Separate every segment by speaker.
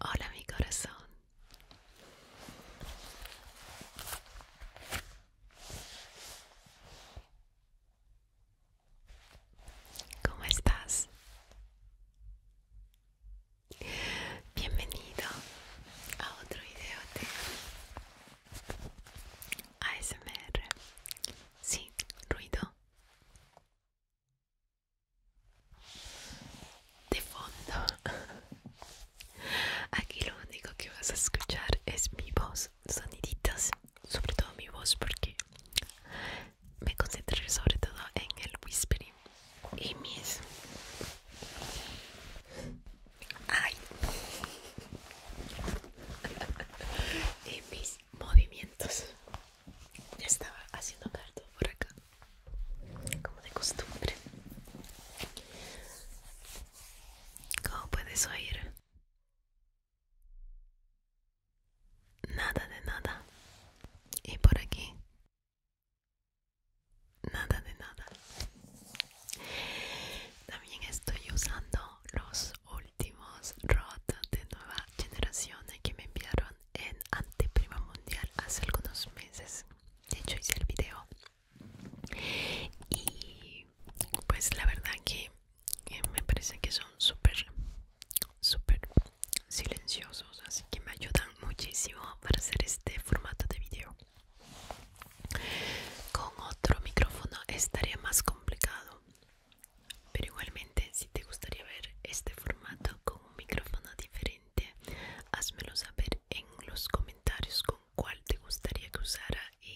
Speaker 1: Hola mi corazón. ¿Cómo estás? Bienvenido a otro video de ASMR. Sí, ruido de fondo aquí lo único que vas a escuchar es mi voz Soniditos sobre todo mi voz porque me concentré sobre todo en el whispering y mis ay y mis movimientos estaba haciendo caldo por acá, como de costumbre. Como puedes oír, nada de nada. Y por aquí, nada de nada. También estoy usando los últimos rods de nueva generación eh, que me enviaron en Anteprima Mundial hace algunos meses. De hecho hice el video. Y pues la verdad que me parece que son súper, súper silenciosos. Así que me ayudan muchísimo para hacer este formato de video. Con otro micrófono estaría más complicado pero igualmente, si te gustaría ver este formato con un micrófono diferente, házmelo saber en los comentarios con cuál te gustaría que usara y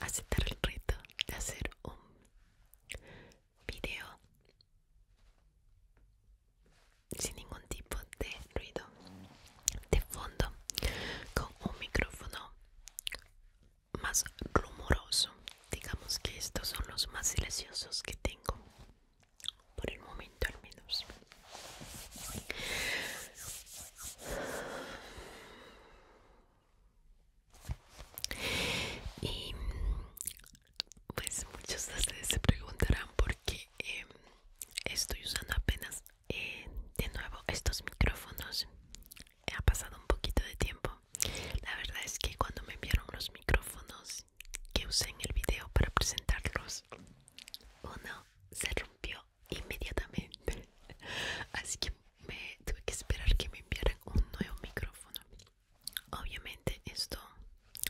Speaker 1: aceptar el reto de hacer un video sin ningún tipo de ruido de fondo con un micrófono más rumoroso digamos que estos son los más silenciosos que tengo por el momento al menos y pues muchos de ustedes se preguntarán por qué em, estoy usando apenas eh, de nuevo estos micrófonos ha pasado un poquito de tiempo la verdad es que cuando me enviaron los micrófonos que usé en el video para presentarlos, uno se rompió inmediatamente. Así que me tuve que esperar que me enviaran un nuevo micrófono. Obviamente esto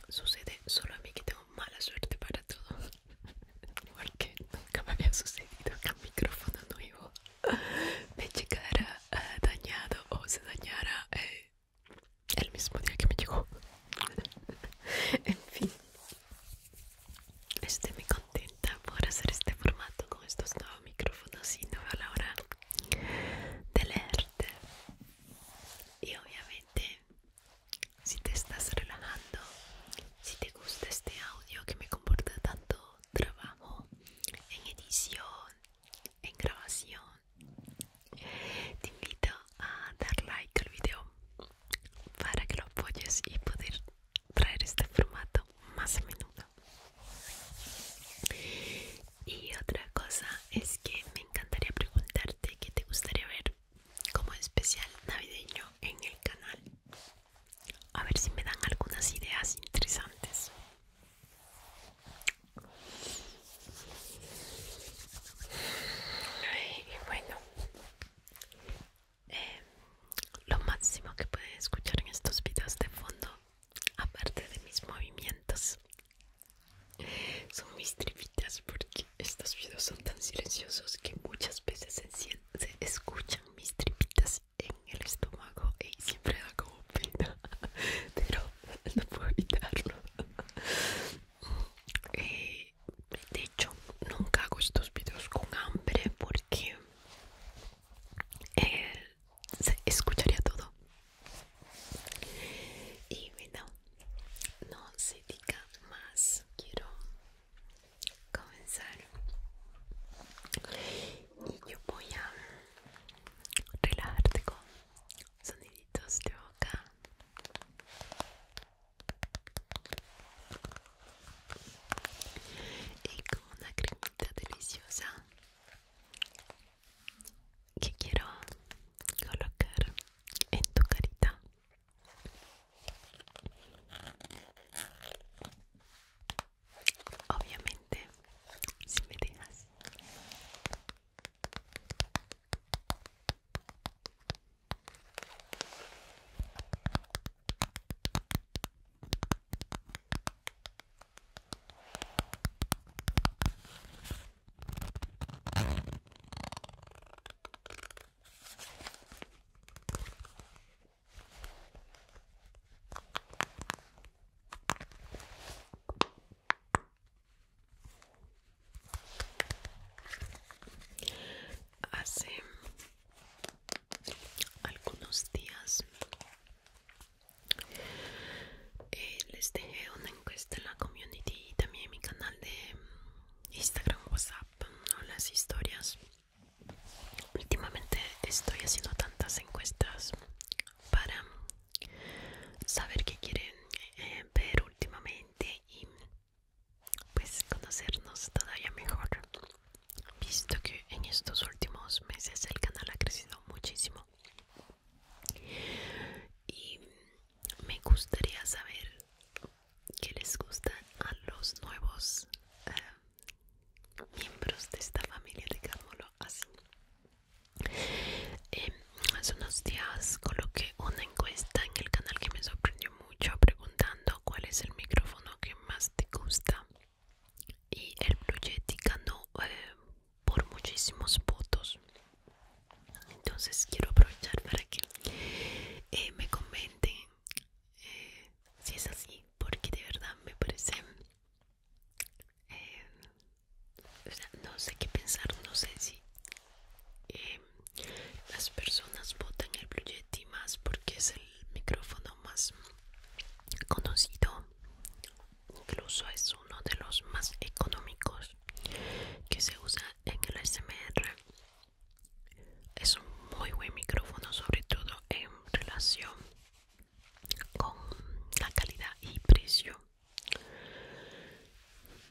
Speaker 1: sucede solo a mí que tengo mala suerte para todo. Porque nunca me había sucedido que un micrófono nuevo me llegara dañado o se dañara. Eh, el mismo día que me llegó. en fin, estoy muy contenta por hacer este formato con estos nuevos micrófonos y no veo la hora de leerte. Y obviamente, si te estás relajando, si te gusta este audio que me comporta tanto trabajo en edición, en grabación, te invito a dar like al video para que lo apoyes y poder traer este formato más a menudo y otra cosa es que me encantaría preguntarte qué te gustaría ver como especial navideño en el canal a ver si me dan algunas ideas interesantes y bueno, eh, lo máximo que pueden escuchar en estos videos de fondo, aparte de mis movimientos, son mis tripitas porque estos videos son tan silenciosos que muchas veces se, se escuchan mis tripitas en el estómago y siempre hago pero no puedo evitarlo. Eh, de hecho, nunca hago estos videos con hambre porque eh, se escucharía todo. Y bueno, no se diga más. Quiero comenzar. Y yo voy a relajarte con soniditos de boca. Y con una cremita deliciosa que quiero colocar en tu carita. Obviamente, si me dejas. Hace algunos días eh, les dejé una encuesta en la community y también en mi canal de Instagram, WhatsApp las historias. Últimamente estoy haciendo tantas encuestas para saber qué quieren eh, ver últimamente y pues conocernos todavía mejor visto que en estos últimos meses el canal ha crecido muchísimo y me gustaría saber qué les gusta a los nuevos eh, miembros de esta familia digamoslo así Em, hace unos días coloqué una encuesta en el canal que me sorprendió mucho preguntando cuál es el micrófono que más te gusta y el Blue Yeti ganó eh, por muchísimos votos entonces quiero aprovechar para que eh, me comenten eh, si es así porque de verdad me parece eh, no sé qué pensar, no sé si eh, las personas votan el Blue Yeti más porque es el micrófono más conocido, incluso es uno de los más económicos que se usa en el ASMR. Es un muy buen micrófono, sobre todo en relación con la calidad y precio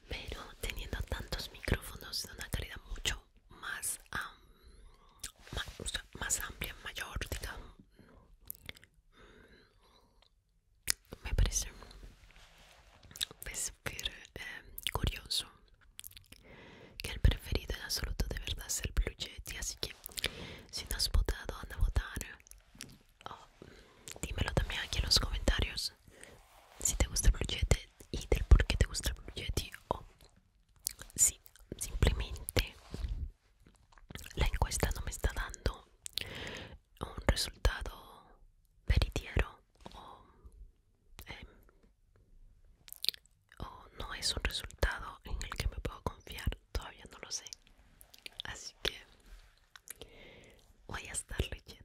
Speaker 1: pero teniendo tantos micrófonos de una calidad mucho más, más, amplia mayor digamos mm, me parece súper pues, em, curioso que el preferido en absoluto de verdad es el Blue Yeti así que si no has votado anda a votar Oh, dímelo también aquí en los comentarios si te gusta el proyecto y del por qué te gusta el o si simplemente la encuesta no me está dando un resultado veritiero o em, no es un resultado en el que me puedo confiar todavía no lo sé. Así que voy a estar leyéndolos.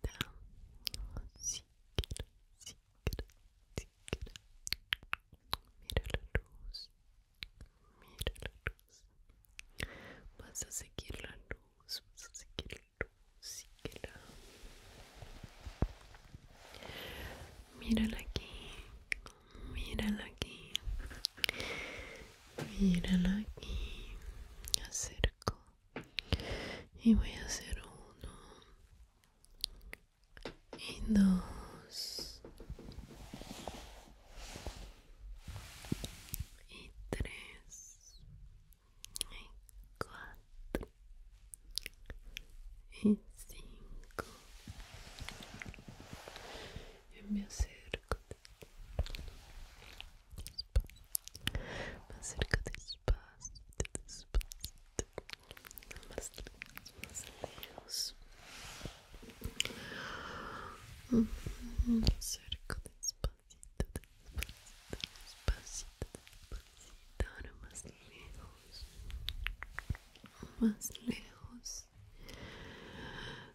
Speaker 1: Mira la luz. Mira la luz. Vas a seguir la luz. Vas a seguir la luz. mira la aquí. la aquí. la aquí. Acerco. e voy a um e dois e três e quatro e cinco eu me acerco más cerca despacito, despacito más más lejos más cerca despacito, despacito, despacito, despacito ahora más lejos más lejos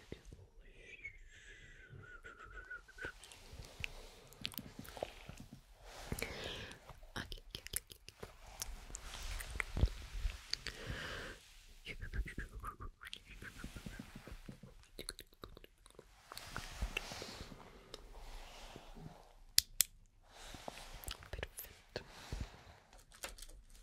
Speaker 1: Aqui, aqui, aqui, aqui. Perfeito.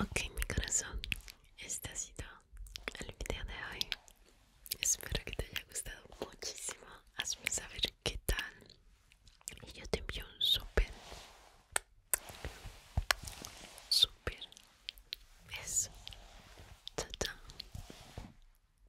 Speaker 1: Ok, mi corazón, este ha sido el video de hoy. Espero que te haya gustado muchísimo. Hazme saber qué tal. Y yo te envío un super super beso. Chao,